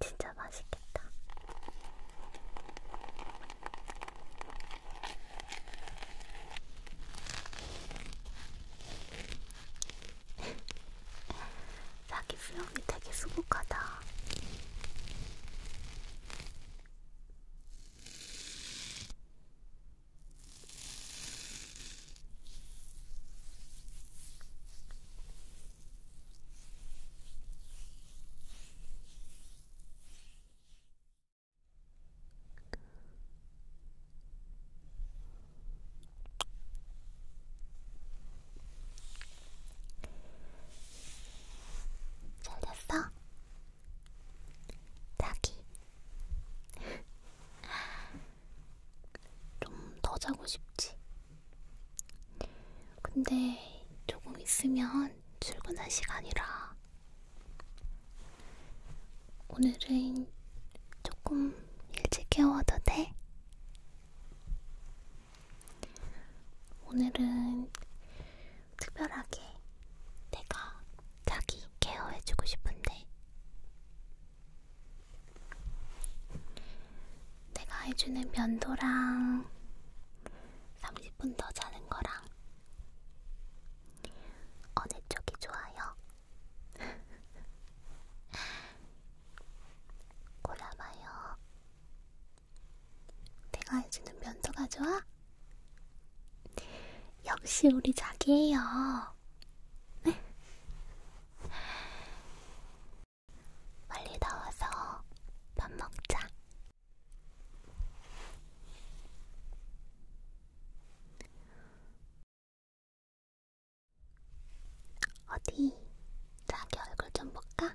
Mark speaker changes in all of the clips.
Speaker 1: 진짜 맛있겠다. 자기 수영이 되게 수북하다. 잘 됐어? 자기 좀 더 자고 싶지. 근데 조금 있으면 출근할 시간이라 오늘은 조금 일찍 깨워도 돼? 오늘은 특별하게 내가 자기 케어해주고 싶은데 내가 해주는 면도랑 30분 더 자는 거랑 어느 쪽이 좋아요? 골라봐요. 내가 해주는 면도가 좋아? 역시 우리 자기예요. 네? 빨리 나와서 밥 먹자. 어디? 자기 얼굴 좀 볼까?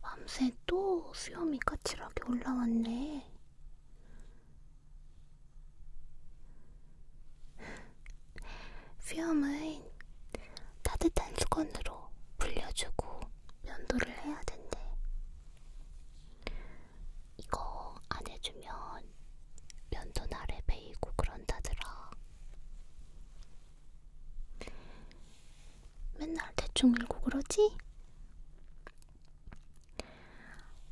Speaker 1: 밤새 또 수염이 까칠하게 올라왔네. 수염은 따뜻한 수건으로 불려주고 면도를 해야 된대. 이거 안 해주면 면도날에 베이고 그런다더라. 맨날 대충 읽고 그러지?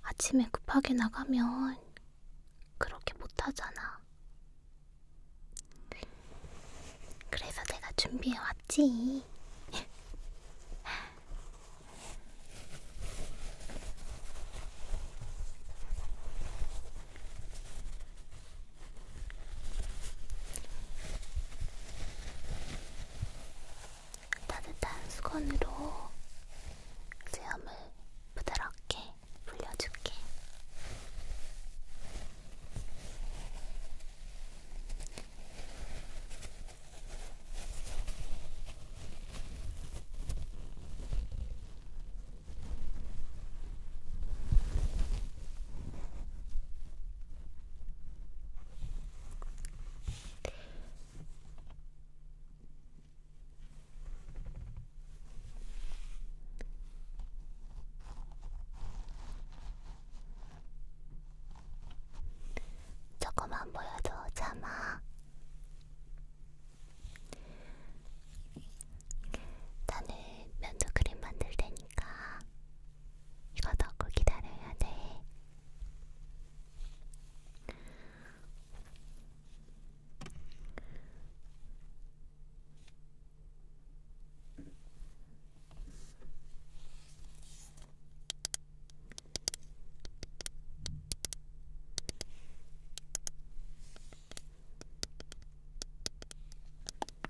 Speaker 1: 아침에 급하게 나가면 그렇게 못하잖아. 그래서 내가 준비해왔지. 따뜻한 수건으로 수염을 부드럽게 불려줄게. 조금만 보여줘, 자마. 나는 면도크림 만들 테니까 이거 넣고 기다려야 돼.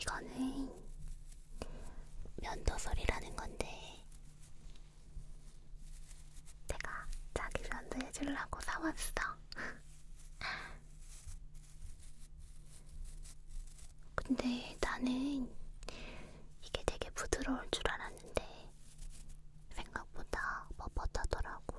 Speaker 1: 이거는 면도소리라는 건데 내가 자기 면도 해주려고 사왔어. 근데 나는 이게 되게 부드러울 줄 알았는데 생각보다 뻣뻣하더라고.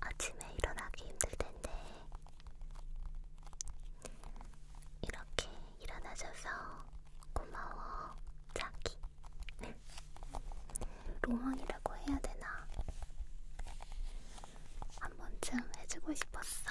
Speaker 1: 아침에 일어나기 힘들 텐데, 이렇게 일어나줘서 고마워, 자기. 로망이라고 해야 되나? 한 번쯤 해주고 싶었어.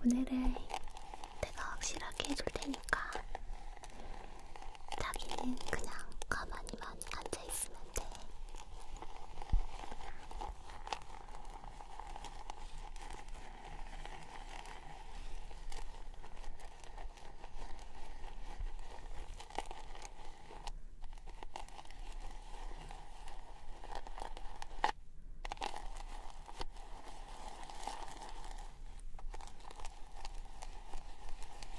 Speaker 1: 오늘은 내가 확실하게 해줄 테니까 자기는 그냥 가만히만 앉아있으면 돼.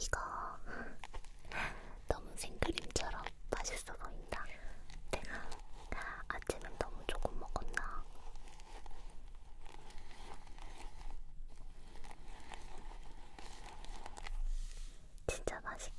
Speaker 1: 이거 너무 생크림처럼 맛있어 보인다. 내가 아침엔 너무 조금 먹었나? 진짜 맛있겠다.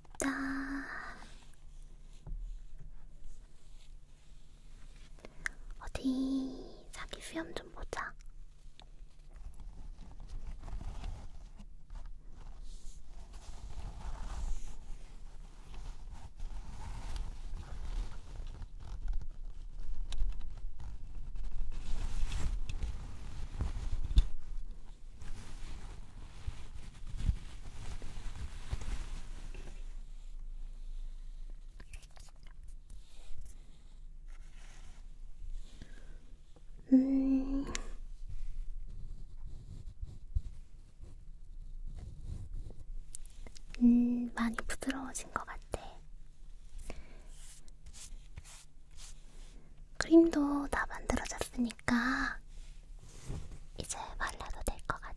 Speaker 1: 됐다. 어디 자기 수염 좀 보자. 음. 음, 많이 부드러워진 것 같아. 크림도 다 만들어졌으니까 이제 말라도 될 것 같아.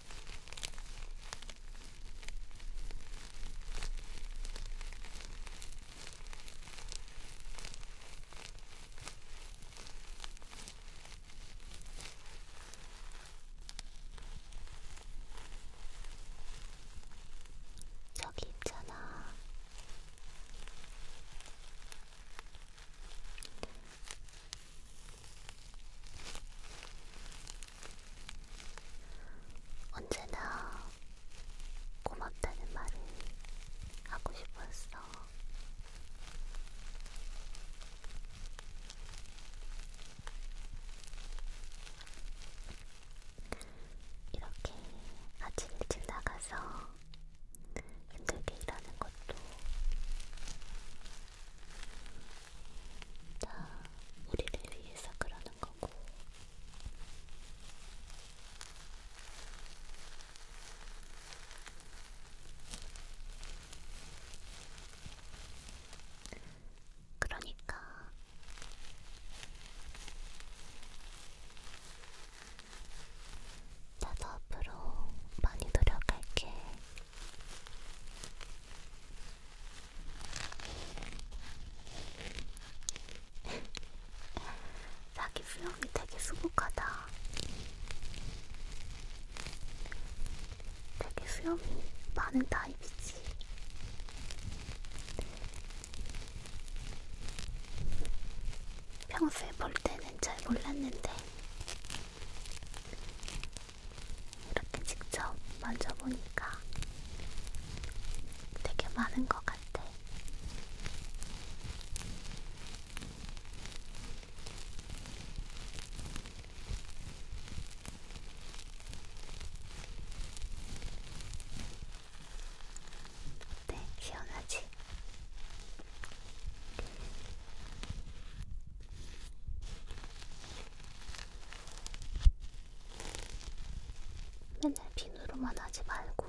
Speaker 1: 저기 있잖아. 언제나 고맙다는 말을 하고 싶었어. 이렇게 아침 일찍 나가서 힘들게 일하는 것도 다 우리를 위해서 그러는 거고. 그러니까 나도 앞으로 많이 노력할게. 자기 수염이 되게 수북하다. 되게 수염이 많은 타입이지. 평소에 볼 때는 잘 몰랐는데 이렇게 직접 만져보니까 되게 많은 것 같아. 네, 시원하지? 맨날 비누로만 하지 말고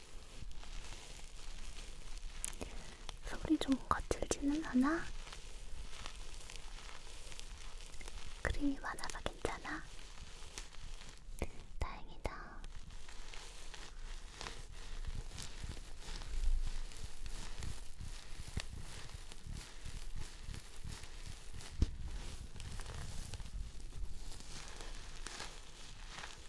Speaker 1: 소리 좀 거칠지는 않아? 크림이 많아서 괜찮아? 다행이다.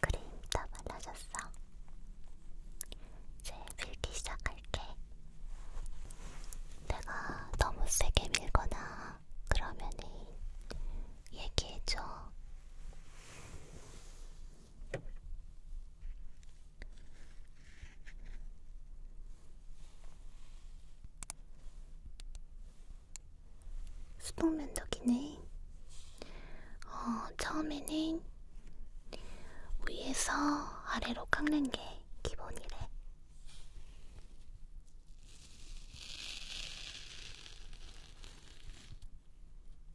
Speaker 1: 크림 다 발라졌어. 이제 밀기 시작할게. 내가 너무 세게 밀거나 그러면은 얘기해줘. 수동 면도기는 어, 처음에는 위에서 아래로 깎는 게 기본이래.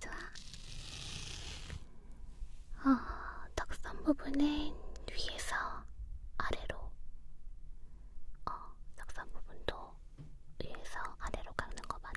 Speaker 1: 좋아. 어, 턱선 부분은 위에서 아래로, 어, 턱선 부분도 위에서 아래로 깎는 거 맞아.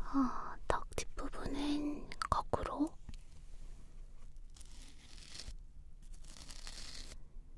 Speaker 1: 어, 아, 턱 뒷부분은 거꾸로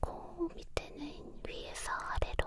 Speaker 1: 코 밑에는 위에서 아래로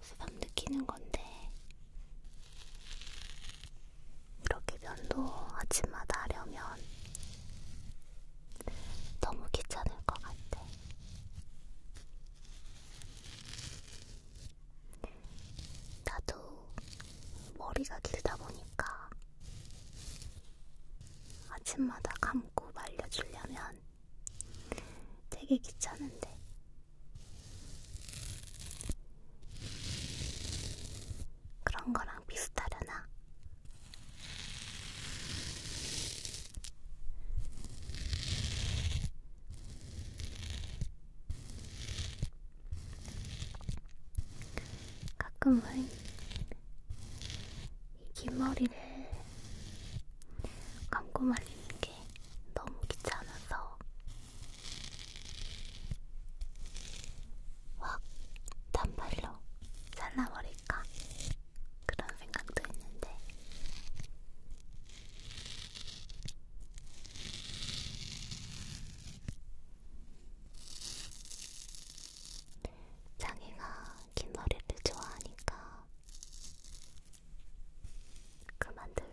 Speaker 1: 수박 느끼는 건데 이렇게 면도 아침마다 하려면 너무 귀찮을 것 같아. 나도 머리가 길다 보니까 아침마다 감고 말려주려면 되게 귀찮은데. 그런 거랑 비슷하려나? 가끔은 이 긴 머리를 감고 말리는 게 너무 귀찮아서 확 단발로 잘라버리고 않을까 그런 생각도 했는데 자기가 긴 머리를 좋아하니까 그만둘래.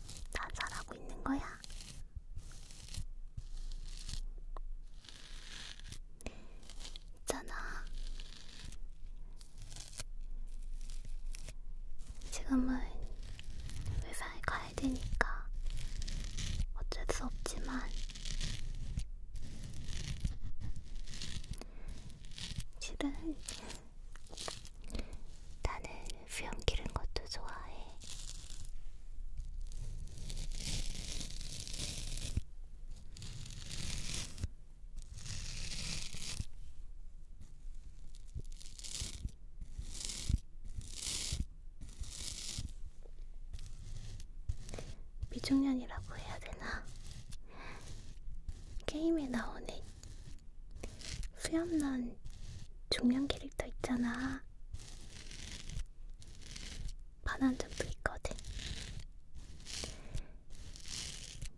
Speaker 1: 다 잘하고 있는 거야. 있잖아. 지금은 회사에 가야 되니까 어쩔 수 없지만 실은 나는 수염 기른 것도 좋아해. 미중년이라고 해야 되나? 게임에 나오는 수염난 중년 캐릭터 있잖아. 반한 점도 있거든.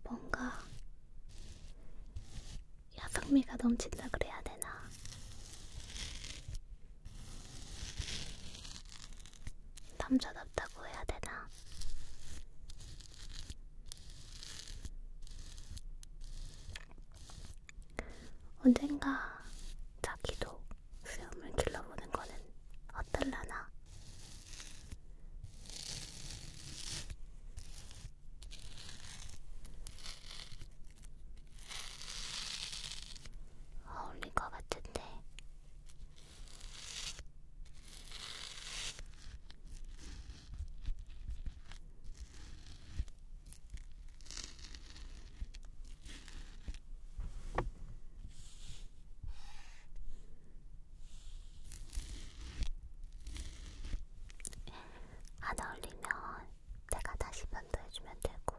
Speaker 1: 뭔가 야성미가 넘친다 그래야 되나? 남자답다고 해야 되나? 언젠가 자기도 수염을 길러보는 거는 어떨라나? 어울릴 것 같은데. 안 어울리면 내가 다시 반도해주면 되고.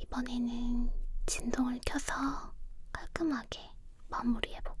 Speaker 1: 이번에는 진동을 켜서 깔끔하게 마무리해볼게.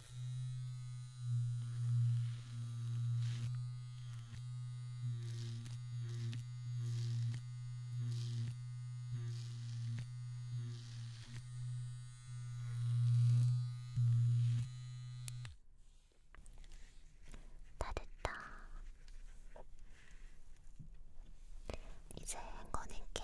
Speaker 1: 다 됐다. 이제 꺼낼게.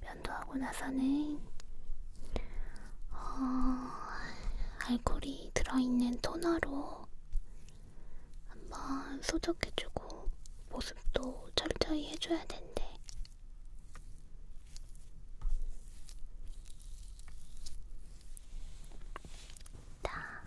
Speaker 1: 면도하고 나서는 어, 알콜이 들어있는 토너로 한번 소독해주고 보습도 철저히 해줘야 된대. 자,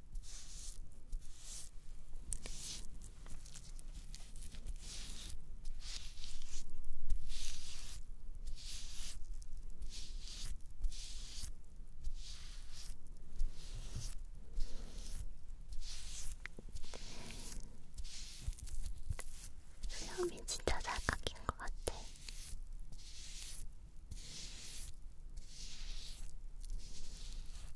Speaker 1: 수염이 진짜 잘 깎인 것 같아.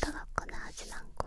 Speaker 1: 따갑거나 하진 않고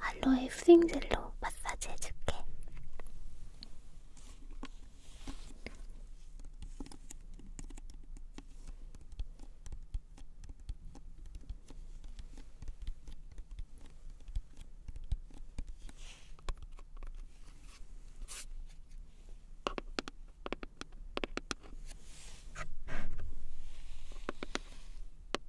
Speaker 1: 알로에 수딩젤로 마사지 해줄게.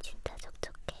Speaker 1: 진짜 촉촉해.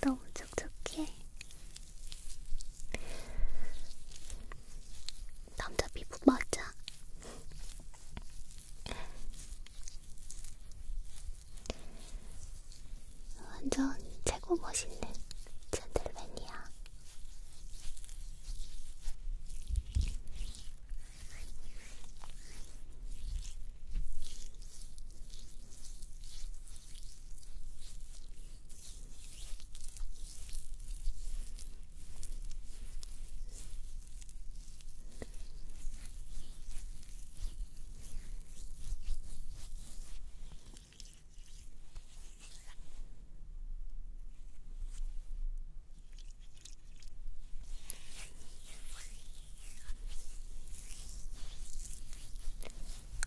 Speaker 1: 너무 촉촉해. 남자 피부 맞아. 완전 최고 멋있는 젠틀맨이야.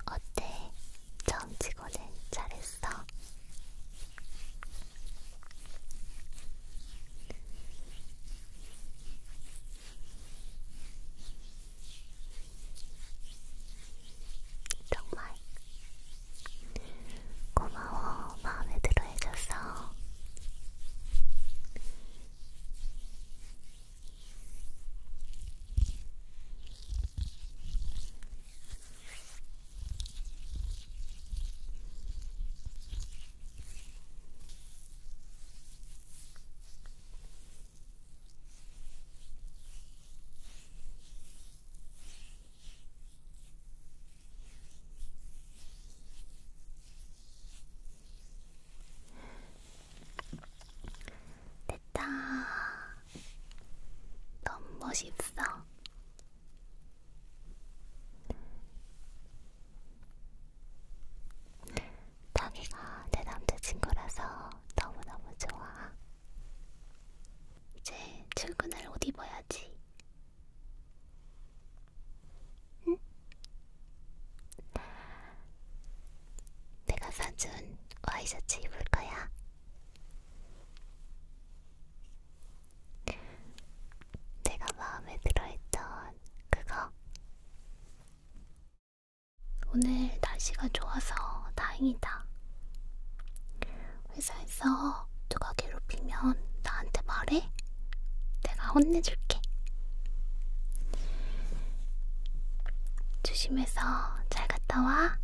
Speaker 1: 어때? 처음 치고는 잘했어. 정말 고마워 마음에 들어 해줘서 됐다. 너무 멋있어. 자기가 내 남자친구라서 너무너무 좋아. 이제 출근할 옷 입어야지. 응? 내가 사준 와이셔츠 입을 거야. 내가 마음에 들어했던 그거. 오늘 날씨가 좋아서 다행이다. 회사에서 누가 괴롭히면 나한테 말해. 내가 혼내줄게. 조심해서 잘 갔다 와.